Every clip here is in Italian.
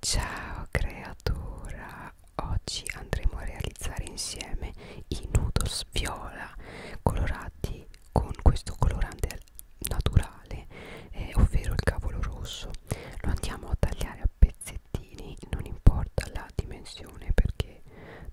Ciao creatura, oggi andremo a realizzare insieme i noodles viola colorati con questo colorante naturale, eh, ovvero il cavolo rosso. Lo andiamo a tagliare a pezzettini, non importa la dimensione perché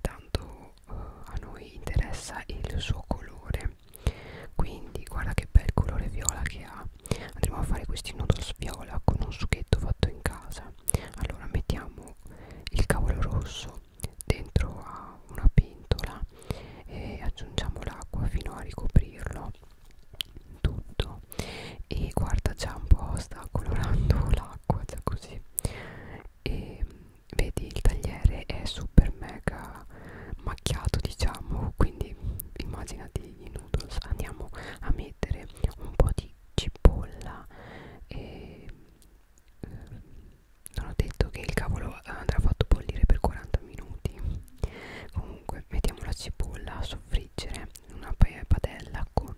tanto eh, a noi interessa il suo colore. Quindi guarda che bel colore viola che ha andremo a fare questi noodles viola con un succhetto fatto in casa allora mettiamo il cavolo rosso dentro a una pentola e aggiungiamo l'acqua fino a ricoprirlo tutto e guarda già un po' sta colorando l'acqua già così e vedi il tagliere è super mega macchiato diciamo quindi immaginati i noodles andiamo a mettere un po' di cipolla e eh, non ho detto che il cavolo andrà fatto bollire per 40 minuti comunque mettiamo la cipolla a soffriggere in una padella con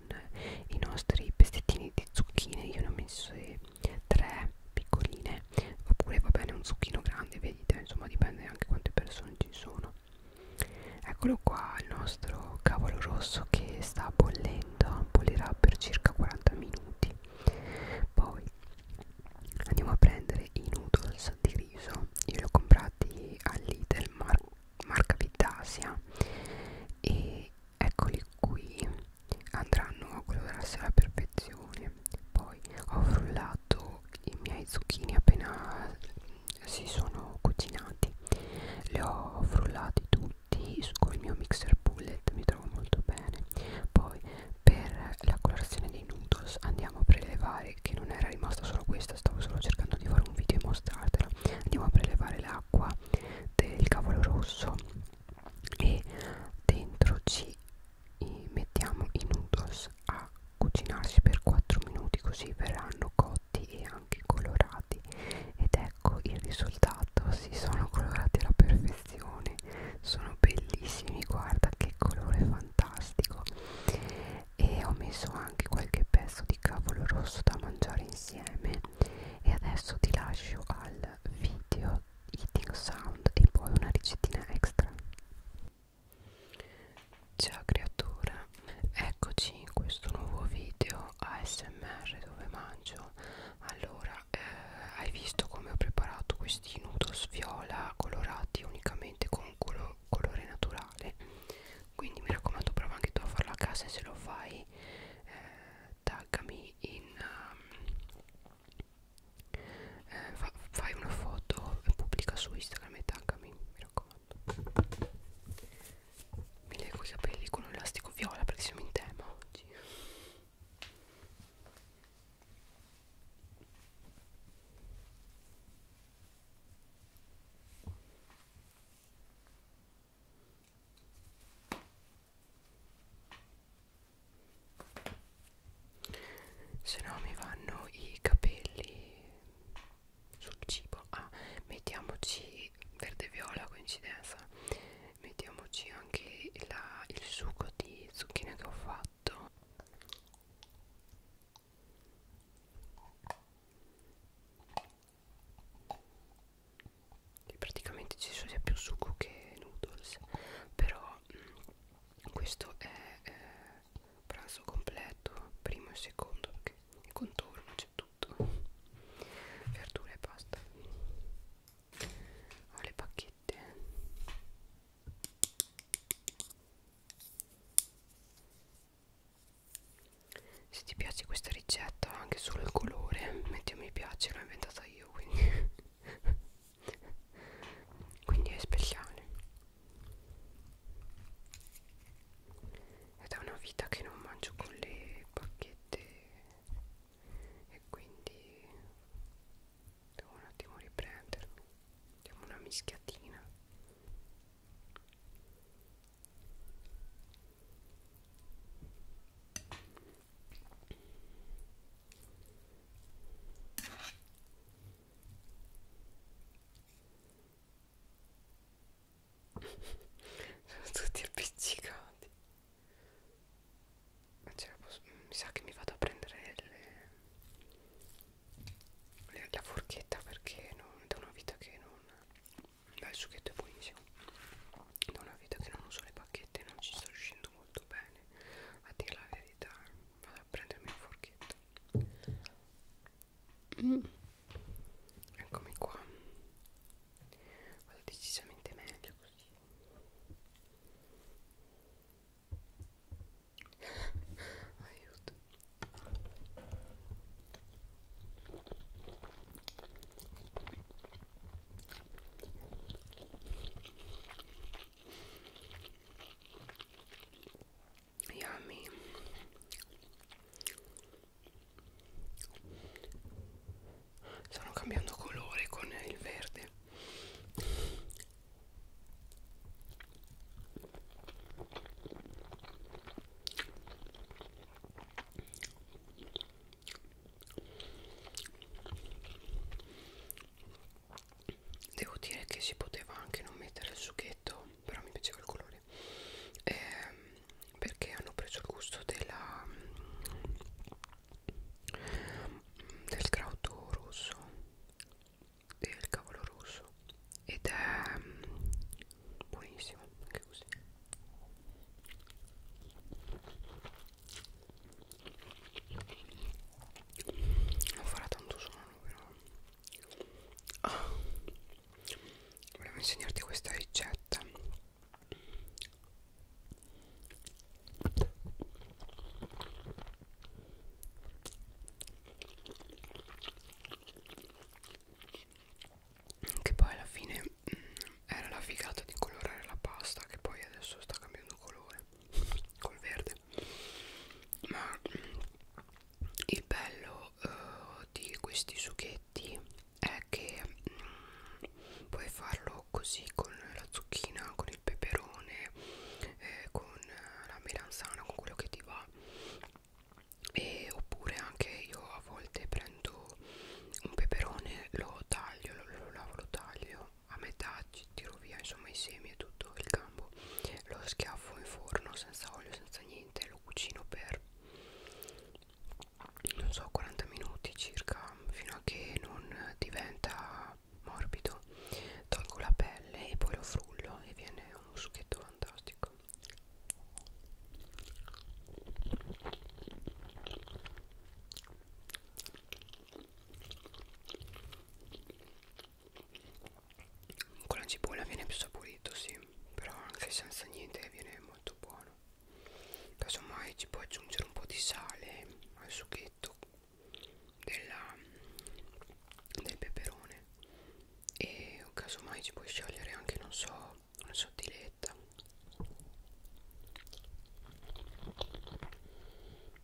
i nostri pezzettini di zucchine io ne ho messe tre piccoline oppure va bene un zucchino grande vedete insomma dipende anche quante persone ci sono eccolo qua il nostro cavolo rosso che sta bollendo bollirà per circa 40 minuti poi andiamo a prendere i noodles di riso io li ho comprati all'Idel Mar marca Vitasia e eccoli qui andranno a colorarsi alla perfezione poi ho frullato i miei zucchini appena si sono cucinati li ho frullati tutti col mio mixer bullet mi trovo molto bene poi per la colorazione dei noodles andiamo a prelevare che non era rimasta solo questa stavo solo cercando di fare un video e mostrartela andiamo a prelevare l'acqua del cavolo rosso e dentro ci mettiamo i noodles a cucinarsi per 4 minuti così verranno cotti e anche colorati ed ecco il risultato si sono colorati alla perfezione sono bellissimi guarda che colore fantastico e ho messo anche qualche pezzo di cavolo rosso da mangiare insieme e adesso ti lascio al video eating sound e poi una ricettina extra Ciao creatura, eccoci in questo nuovo video ASMR dove mangio Allora, eh, hai visto come ho preparato questi noodles viola colorati unicamente con colo colore naturale Quindi mi raccomando prova anche tu a farlo a casa e se lo fai eh, taggami in, um, eh, fa, fai una foto e pubblica su Instagram e taggami, mi raccomando. Mi leggo i capelli con un elastico viola perché siamo in tema oggi se no mi vanno i capelli sul cibo ah mettiamoci verde viola coincidenza mettiamoci anche la, il succo di zucchine che ho fatto e praticamente ci sono sia più succo che noodles però mh, mm, questo è eh, pranzo completo, primo e secondo, perché il contorno c'è tutto, verdure e pasta. Ho le pacchette. Se ti piace questa ricetta, anche solo il colore, metti un mi piace, l'ho inventata io, quindi quindi è speciale è da una vita che non mangio con le bacchette e quindi devo un attimo riprendermi diamo una mischiatina sono tutti appiccicati posso... Mm, mi sa che mi vado a prendere le... Le... la forchetta perché non... da una vita che non Beh, il succhetto è buonissimo da una vita che non uso le pacchette non ci sto riuscendo molto bene a dire la verità vado a a prendermi un forchetto mm. eccomi qua vado decisamente meglio così aiuto Yummy. Stanno cambiando colore con il verde devo dire che si poteva anche non mettere il succhetto però mi piaceva il colore ehm, perché hanno preso il gusto della del crauto rosso del cavolo rosso ed è mm, buonissimo anche così non farà tanto suono però ah, volevo insegnarti questa ricetta che poi alla fine mm, era la figata di colorare la pasta che poi adesso sta cambiando colore col verde ma il bello uh, di questi sughetti è che mh, mm, puoi farlo così con la zucchina con il peperone eh, con la melanzana con quello che ti va e oppure anche io a volte prendo un peperone lo taglio lo, lo lavo lo taglio a metà tiro via insomma i semi e tutto il gambo lo schiaffo in forno senza olio senza niente lo cucino per non so 40 minuti circa fino a che non diventa morbido tolgo la pelle e poi lo frullo e viene un succhetto fantastico con la cipolla viene più saporito sì però anche senza niente viene molto buono casomai ci può aggiungere un po' di sale al succhetto della, del peperone e casomai ci puoi sciogliere anche non so una sottiletta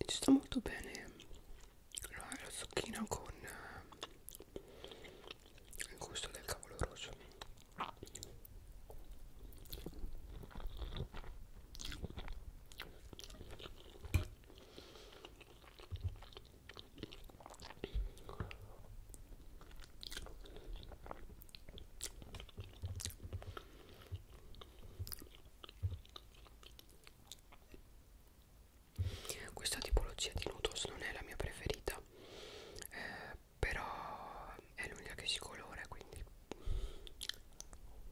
e ci sta molto bene la, la zucchina con eh, il gusto del cavolo rosso questa tipologia di noodles non è la mia preferita, eh, però è l'unica che si colora quindi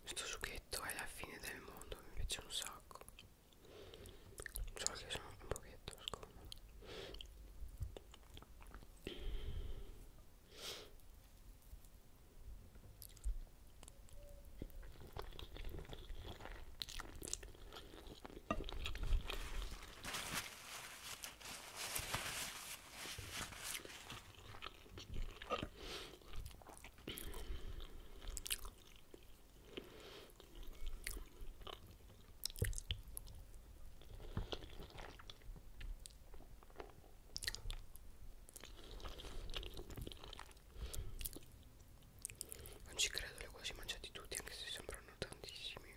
questo sughetto è la fine del mondo mi piace un sacco solo che sono un pochetto scomodo non ci credo, li ho quasi mangiati tutti, anche se sembrano tantissimi.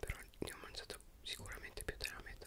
Però ne ho mangiato sicuramente più della metà.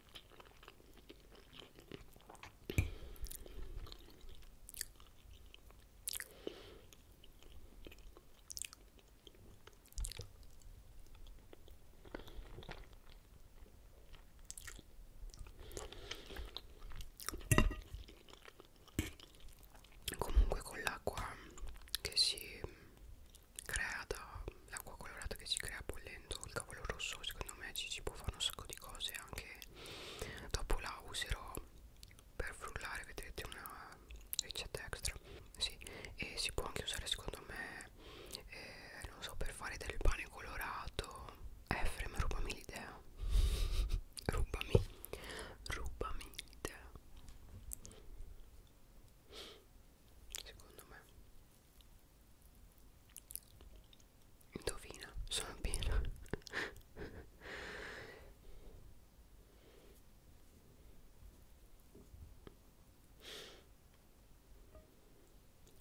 Comunque con l'acqua che si crea dall'acqua colorata che si crea bollendo il cavolo rosso secondo me ci si può fare un sacco di cose anche dopo la userò per frullare vedrete una ricetta extra sì. e si può anche usare secondo me eh, non so per fare del pane colorato eh, Efrem rubami l'idea rubami rubami l'idea secondo me indovina sono piena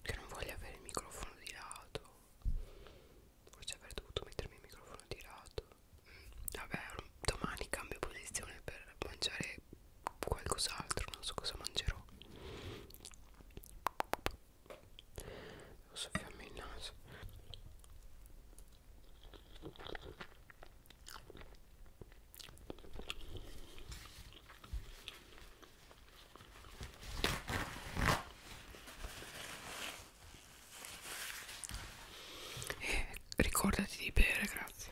che non voglio avere il microfono di lato forse avrei dovuto mettermi il microfono di lato mm, vabbè domani cambio posizione per mangiare mangiare qualcos'altro non so cosa mangerò devo soffiarmi il naso e eh, ricordati di bere grazie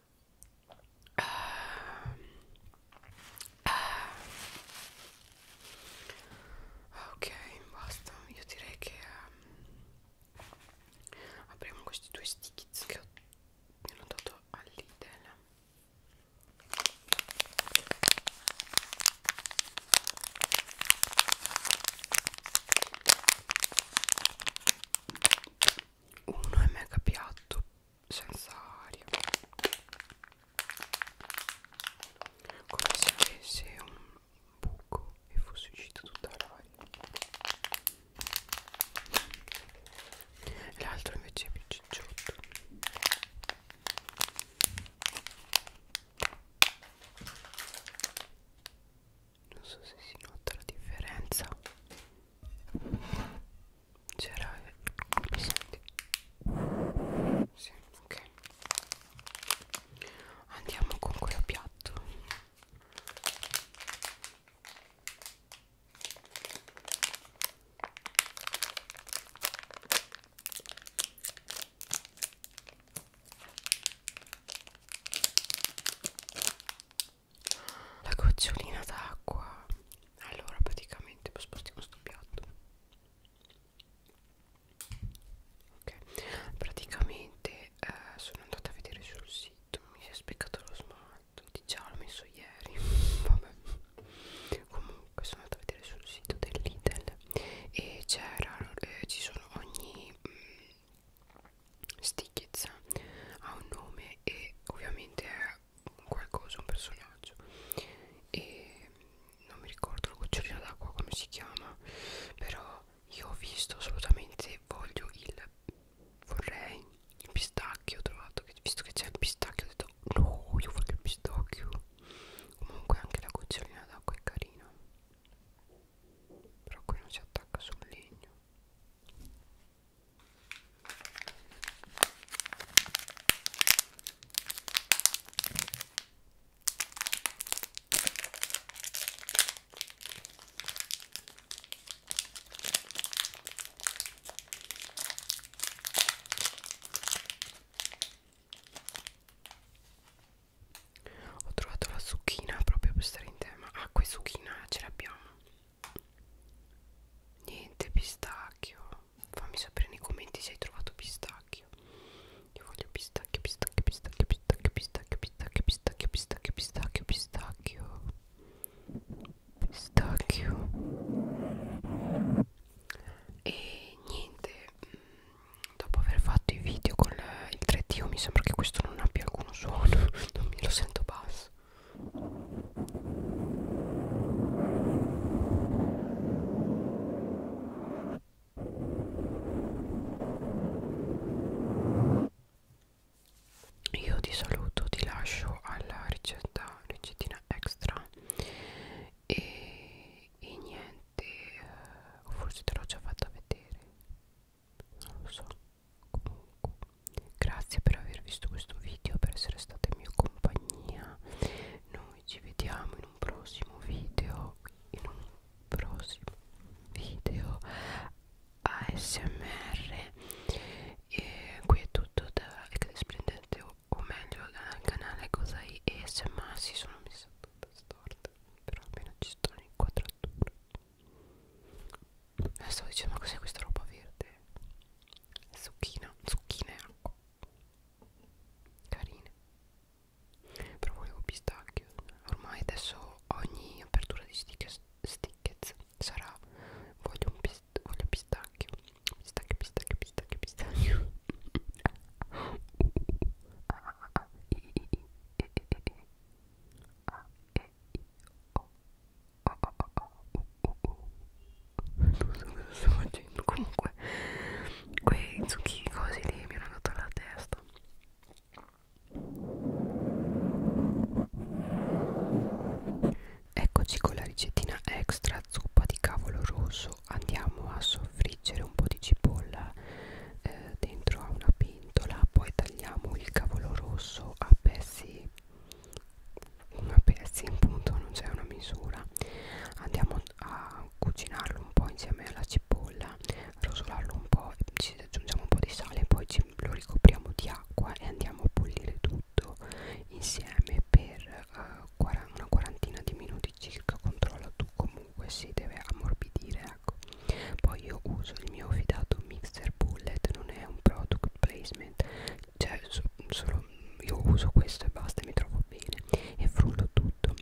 Ah. ok basta io direi che um, apriamo questi due stickies che ho, mi hanno dato all'Idel uno è mega piatto senza aria come se avesse un buco e fosse uscita tutta l'aria l'altro invece è più cicciotto non so se si nota la differenza c'era mi senti? Sì, ok andiamo con quello piatto la gocciolina d'acqua allora praticamente spostiamo sto piatto ok praticamente eh, sono andata a vedere sul sito mi si è speccato lo smalto di già l'ho messo ieri vabbè comunque sono andata a vedere sul sito dell'Itel e c'era eh, ci sono ogni mh, mm, Stickets ha un nome e ovviamente è un qualcosa, un personaggio e non mi ricordo la gocciolina d'acqua come si chiama però io ho visto assolutamente voglio il vorrei il pistacchio ho trovato che, visto che c'è il pistacchio ho detto no io voglio il pistacchio comunque anche la gocciolina d'acqua è carina però qui non si attacca sul legno ho trovato la zucchina proprio per stare in tema. Ah, qui zucchina ce l'abbiamo niente pistacchio fammi sapere nei commenti se hai trovato pistacchio io voglio pistacchio pistacchio pistacchio pistacchio pistacchio pistacchio pistacchio pistacchio pistacchio pistacchio pistacchio e niente mm, dopo aver fatto i video con il 3D mi sembra che questo non abbia alcun suono non me lo sento basso io ti saluto, ti lascio alla ricetta, ricettina extra e, e niente, eh, forse te l'ho già fatta vedere non lo so comunque grazie per aver visto questo video per essere stata in mia compagnia noi ci vediamo in un prossimo video in un prossimo video ASMR e qui è tutto da Splendente o, o meglio dal canale Cosai ASMR si sono messa tutta storta però almeno ci sto in quadratura eh, stavo dicendo ma cos'è questa roba verde zucchina zucchine e acqua carine però volevo pistacchio ormai adesso ogni apertura di stickers, stickers sarà voglio un pist voglio pistacchio pistacchio pistacchio pistacchio pistacchio ah, ah, ah, i, i, i, i, i, i, i. Ah, e non so cosa sto facendo comunque quei zucchini così lì mi hanno dato la testa eccoci con la ricettina extra zuppa di cavolo rosso andiamo a soffriggere un po' di cipolla eh, dentro a una pentola poi tagliamo il cavolo rosso a pezzi a pezzi appunto non c'è una misura andiamo a cucinarlo un po' insieme alla cipolla rosolarlo un po' ci aggiungiamo un po' di sale poi ci, lo ricopriamo di acqua e andiamo a bollire tutto insieme per uh, una quarantina di minuti circa controlla tu comunque si deve ammorbidire ecco poi io uso il mio fidato mixer bullet non è un product placement cioè so, solo io uso questo e basta e mi trovo bene e frullo tutto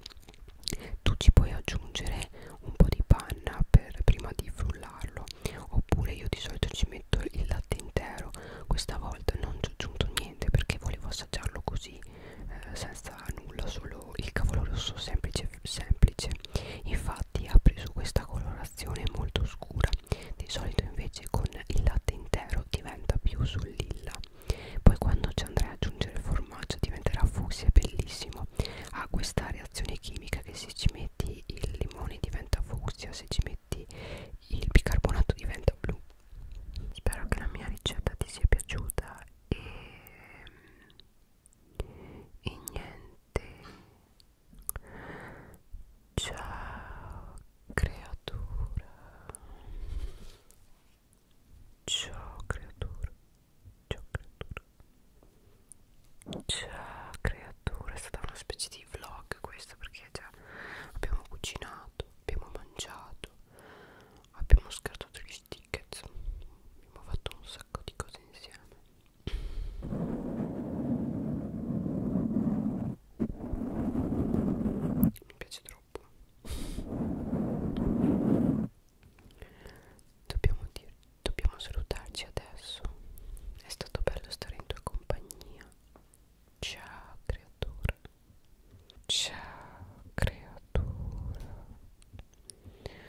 tu ci puoi aggiungere un po' di panna per prima di frullarlo oppure io di solito ci metto il latte intero questa volta non ci ho aggiunto niente perché volevo assaggiarlo così eh, senza nulla solo il cavolo rosso semplice semplice, semplice infatti ha preso questa colorazione molto scura di solito invece con il latte intero diventa più sul lilla poi quando ci andrai ad aggiungere il formaggio diventerà fucsia bellissimo ha questa reazione chimica che se ci metti il limone diventa fucsia se ci metti il bicarbonato diventa blu spero che la mia ricetta ti sia piaciuta e, e niente Ciao creatura Ciao creatura Ciao creatura Ciao creatura È stata una specie di vlog questa perché già abbiamo cucinato Abbiamo mangiato Abbiamo scartato gli stickers Abbiamo fatto un sacco di cose insieme mi piace troppo. Dobbiamo, dir, dobbiamo salutarci adesso. È stato bello stare in tua compagnia. Ciao creatura. Ciao creatura.